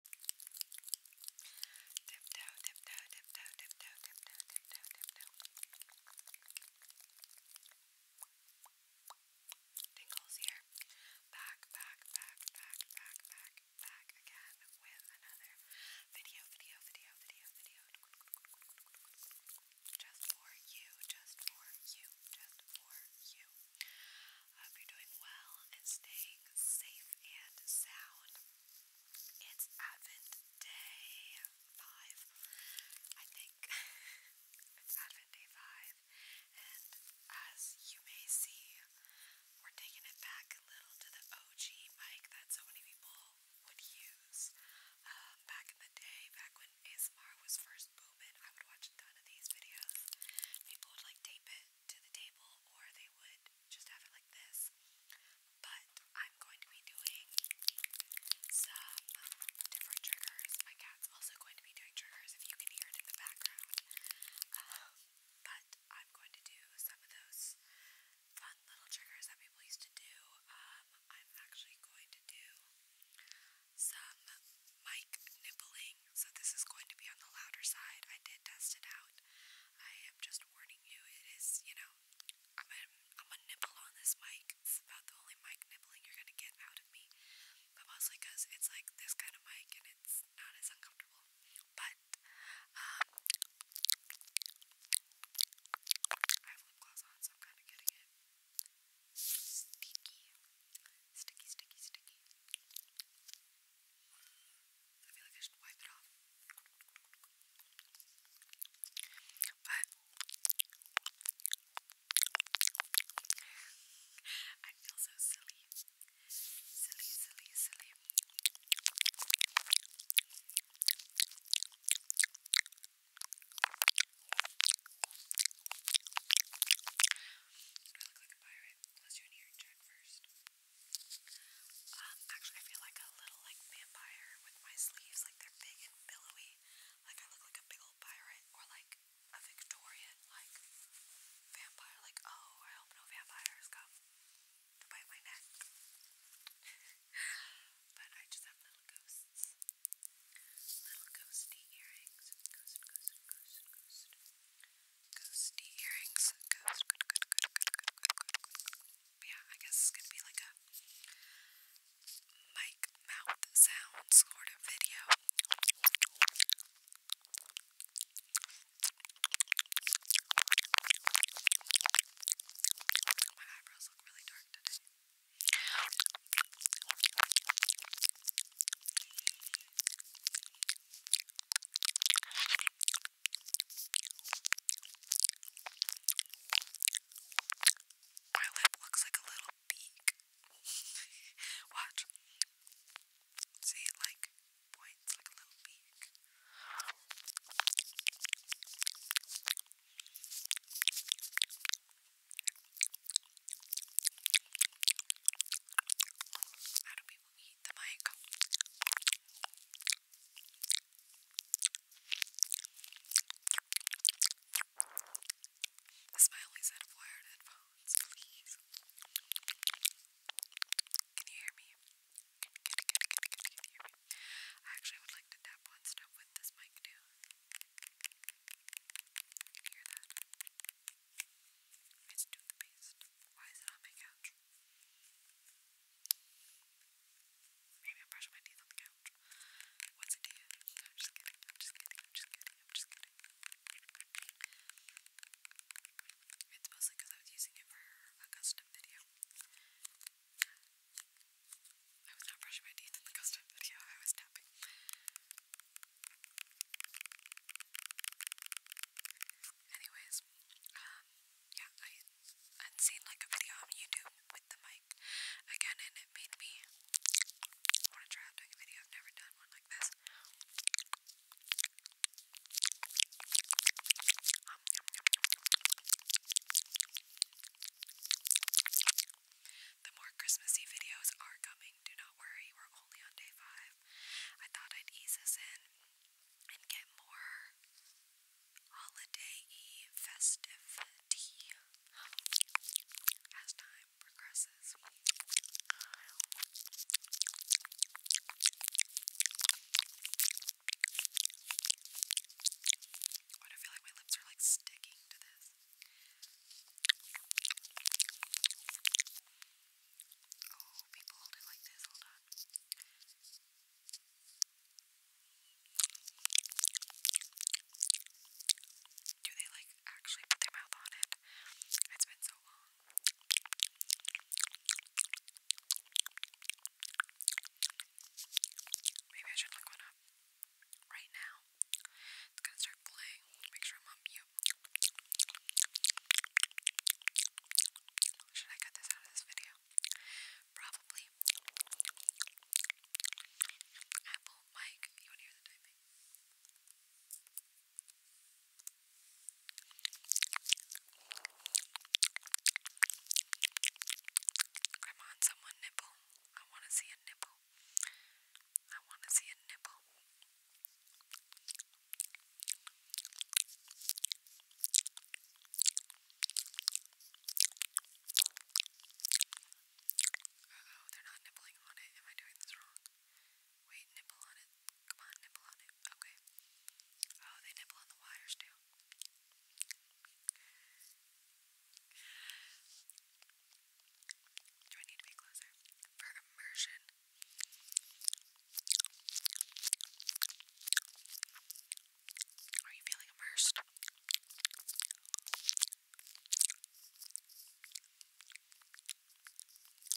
Tiptoe, tiptoe, tiptoe, tiptoe, tiptoe, tiptoe, tiptoe. Tingles here. Back, back, back, back, back, back, back again with another video, video, video, video, video. Just for you, just for you, just for you. I hope you're doing well and staying safe and sound. It's Advent Day 5, I think. it's Advent Day 5, and as you may see, we're taking it back a little to the OG mic that so many people would use. Um, back in the day, back when ASMR was first booming, I would watch a ton of these videos. People would like tape it to the table or they would just have it like this. But I'm going to be doing some different triggers. My cat's also going to be doing triggers if you can hear it in the background. Um, but I'm going to do some of those fun little triggers that people used to do. Um, I'm actually going to do some mic nippling, so this is going to be on the louder side. I did test it out. I am just warning you, it is, you know, I'm a, I'm a nipple on this mic. It's about the only mic nippling you're gonna get out of me, but mostly because it's like this kind of mic and it's not as uncomfortable. But, um, I have lip gloss on, so I'm kind of getting it stinky. Sticky, sticky, sticky. I feel like I should wipe it off. But I feel so silly. Silly, silly, silly. I look like a pirate. Let's do an earring check first. Um, actually, I feel like a little like vampire with my sleeves, like they're big and billowy. Like I look like a big old pirate or like a Victorian like vampire. Like oh, I hope no vampires come to bite my neck. but I just have little ghosts, little ghosty earrings, Ghosty earrings yeah, I guess it's gonna be like a mic mouth sound sort of video. My eyebrows look really dark today. My lip looks like a little beak. Watch. See, like points like a little beak. How do people eat the mic? A smiley set of wired headphones, please. Can you hear me? Can, can, can, can, can you hear me? I actually would like to tap on stuff with this mic too. Did you hear that? It's toothpaste. Why is it on my couch? Maybe I'm brushing my teeth on the couch. What's it to you? I'm just kidding. I'm just kidding. I'm just kidding. I'm just kidding. It's mostly because I was using it for a custom video. I was not brushing my teeth in the custom video. I was tapping. Anyways, um, yeah, I I'd seen like a video on YouTube with the mic again, and it made me want to try out doing a video. I've never done one like this. Um, the more Christmassy videos are coming. Do not worry, we're only on day five. I thought I'd ease us in and get more holiday y festivity as time progresses. What I feel like my lips are like sticking to this. Oh, people hold it like this, hold on. Do they like actually put their mouth on it? It's been so long. Maybe I should look one up right now. It's gonna start playing. Make sure I'm on mute. Should I cut this out of this video? Probably. Apple mic. You wanna hear the typing? Grandma, someone nipple. I wanna see a nipple nipple. I want to see a nipple. Uh oh, they're not nibbling on it. Am I doing this wrong? Wait, nibble on it. Come on, nibble on it. Okay. Oh, they nibble on the wires too. Do I need to be closer? For immersion. Are you feeling immersed? I'm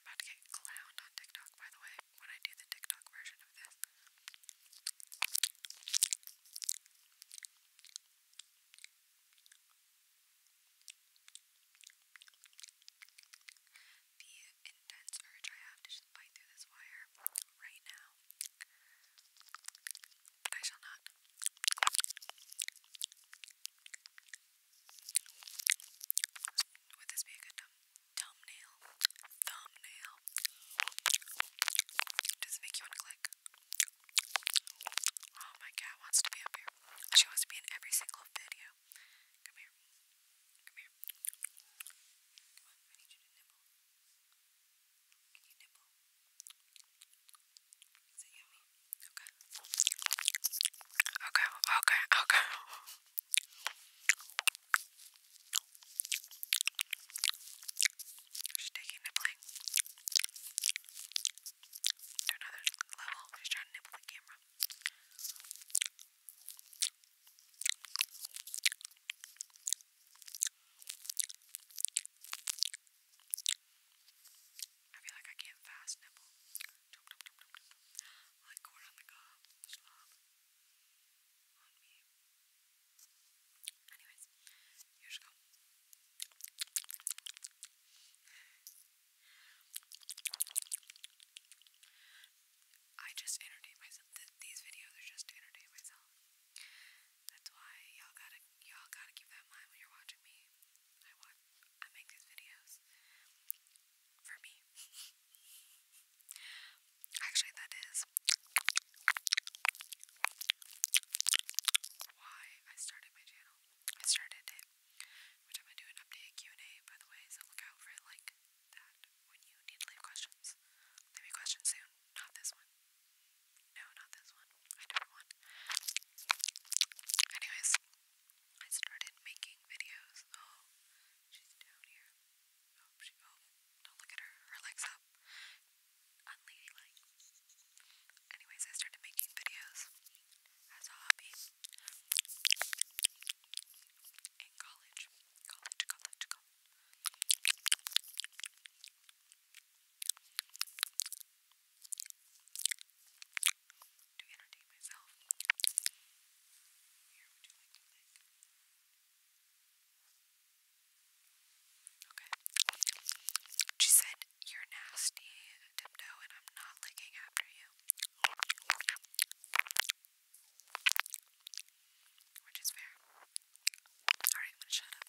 about to get clowned on TikTok, by the way, when I do the TikTok version of this. The intense urge I have to just bite through this wire right now. But I shall not. Would this be a good thumbnail? Thumbnail. Does it make you want to click? Oh, my cat wants to be up here. She wants to be in every single video. Come here. Come here. Come on, I need you to nibble. Can you nibble? Is it yummy? Okay. Okay, okay, okay. She's taking nibbling. To another level. She's trying to nibble the camera. I feel like I can't fast nibble. Like corn on the cob, slob on me. Anyways, here she go. I just entertain myself. Th these videos are just to entertain myself. That's why y'all gotta y'all gotta keep that in mind when you're watching me. I I make these videos for me. Actually, that is why I started my channel. I started it, which I'm gonna do an update Q&A, by the way, so look out for it like that when you need to leave questions. Leave me questions soon, not this one. No, not this one. I don't want. Anyways, I started making videos. Oh, she's down here. Oh, she, oh, don't look at her. Her leg's up. Unladylike. Anyways, I started making videos as a hobby in college. College, college, college. To entertain myself. Here, would you like to like? Okay. She said, You're nasty, Dipno, and I'm not licking after you. Which is fair. Alright, I'm gonna shut up.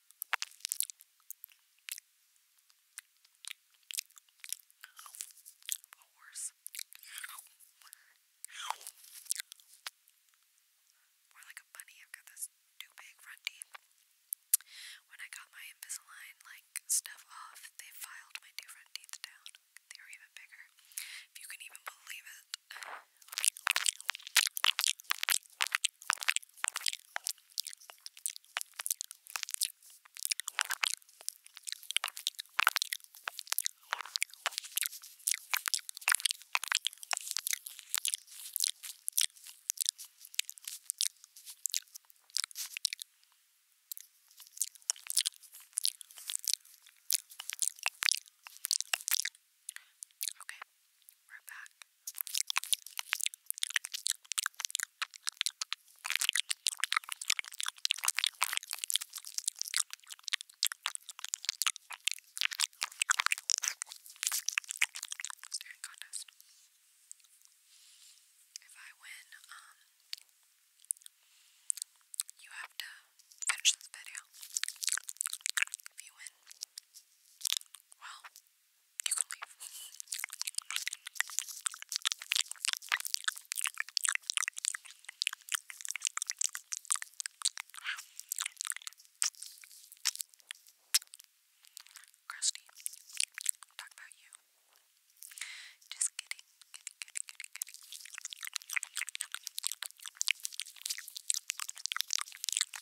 A horse. More like a bunny. I've got this too big front teeth. When I got my Invisalign like stuff off, they filed my two front teeth down. They were even bigger. If you can even believe it. Okay, we're back. Very contest. If I win, um, you have to finish this video. If you win, well, you can leave. Krusty, talk about you. Just kidding, kidding, kidding, kidding, kidding.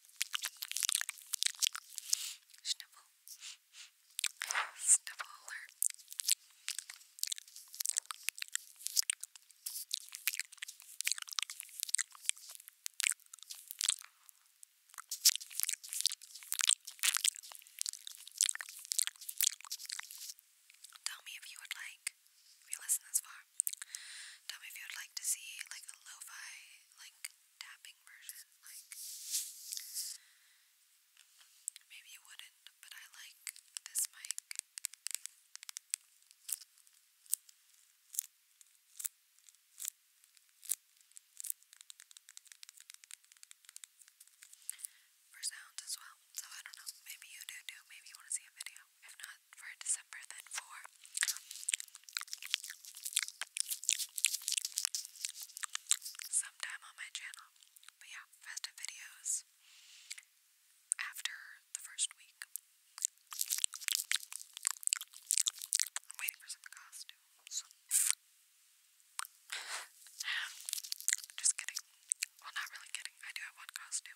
Sniffle. Sniffle alert. Tell me if you would like, if you listen this far, Tell me if you'd like to see like a lo like tapping version. Like maybe you wouldn't, but I like this mic. For sounds as well. So I don't know. Maybe you do too. Maybe you want to see a video. If not, for December than for sometime on my channel. But yeah, festive videos after the first week. I'm waiting for some costumes. Just kidding. Well, not really kidding. I do have one costume.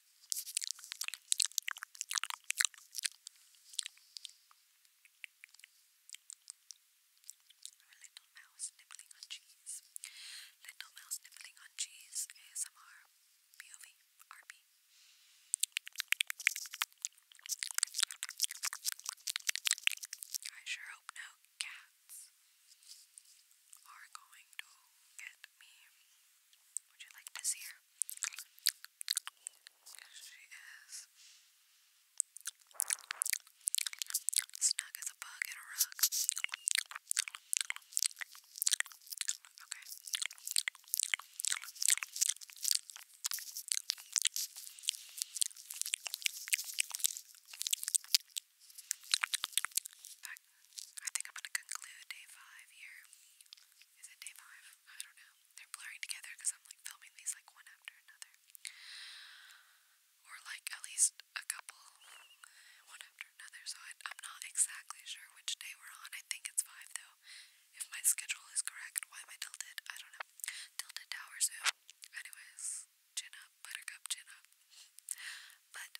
Or a little mouse nibbling on cheese. Little mouse nibbling on cheese. ASMR. POV. RP. I sure hope no cats are going to get me. Would you like this here? She is snug as a bug in a rug. Okay. Back I think I'm gonna conclude day five here. Is it day five? I don't know. They're blurring together because I'm like filming these like one after another. Or like at least a couple one after another. So I, am not exactly sure which day we're on. I think it's five though. If my schedule is correct, why am I tilted? I don't know. Tilted Tower Zoo. Anyways, chin up, buttercup, chin up. But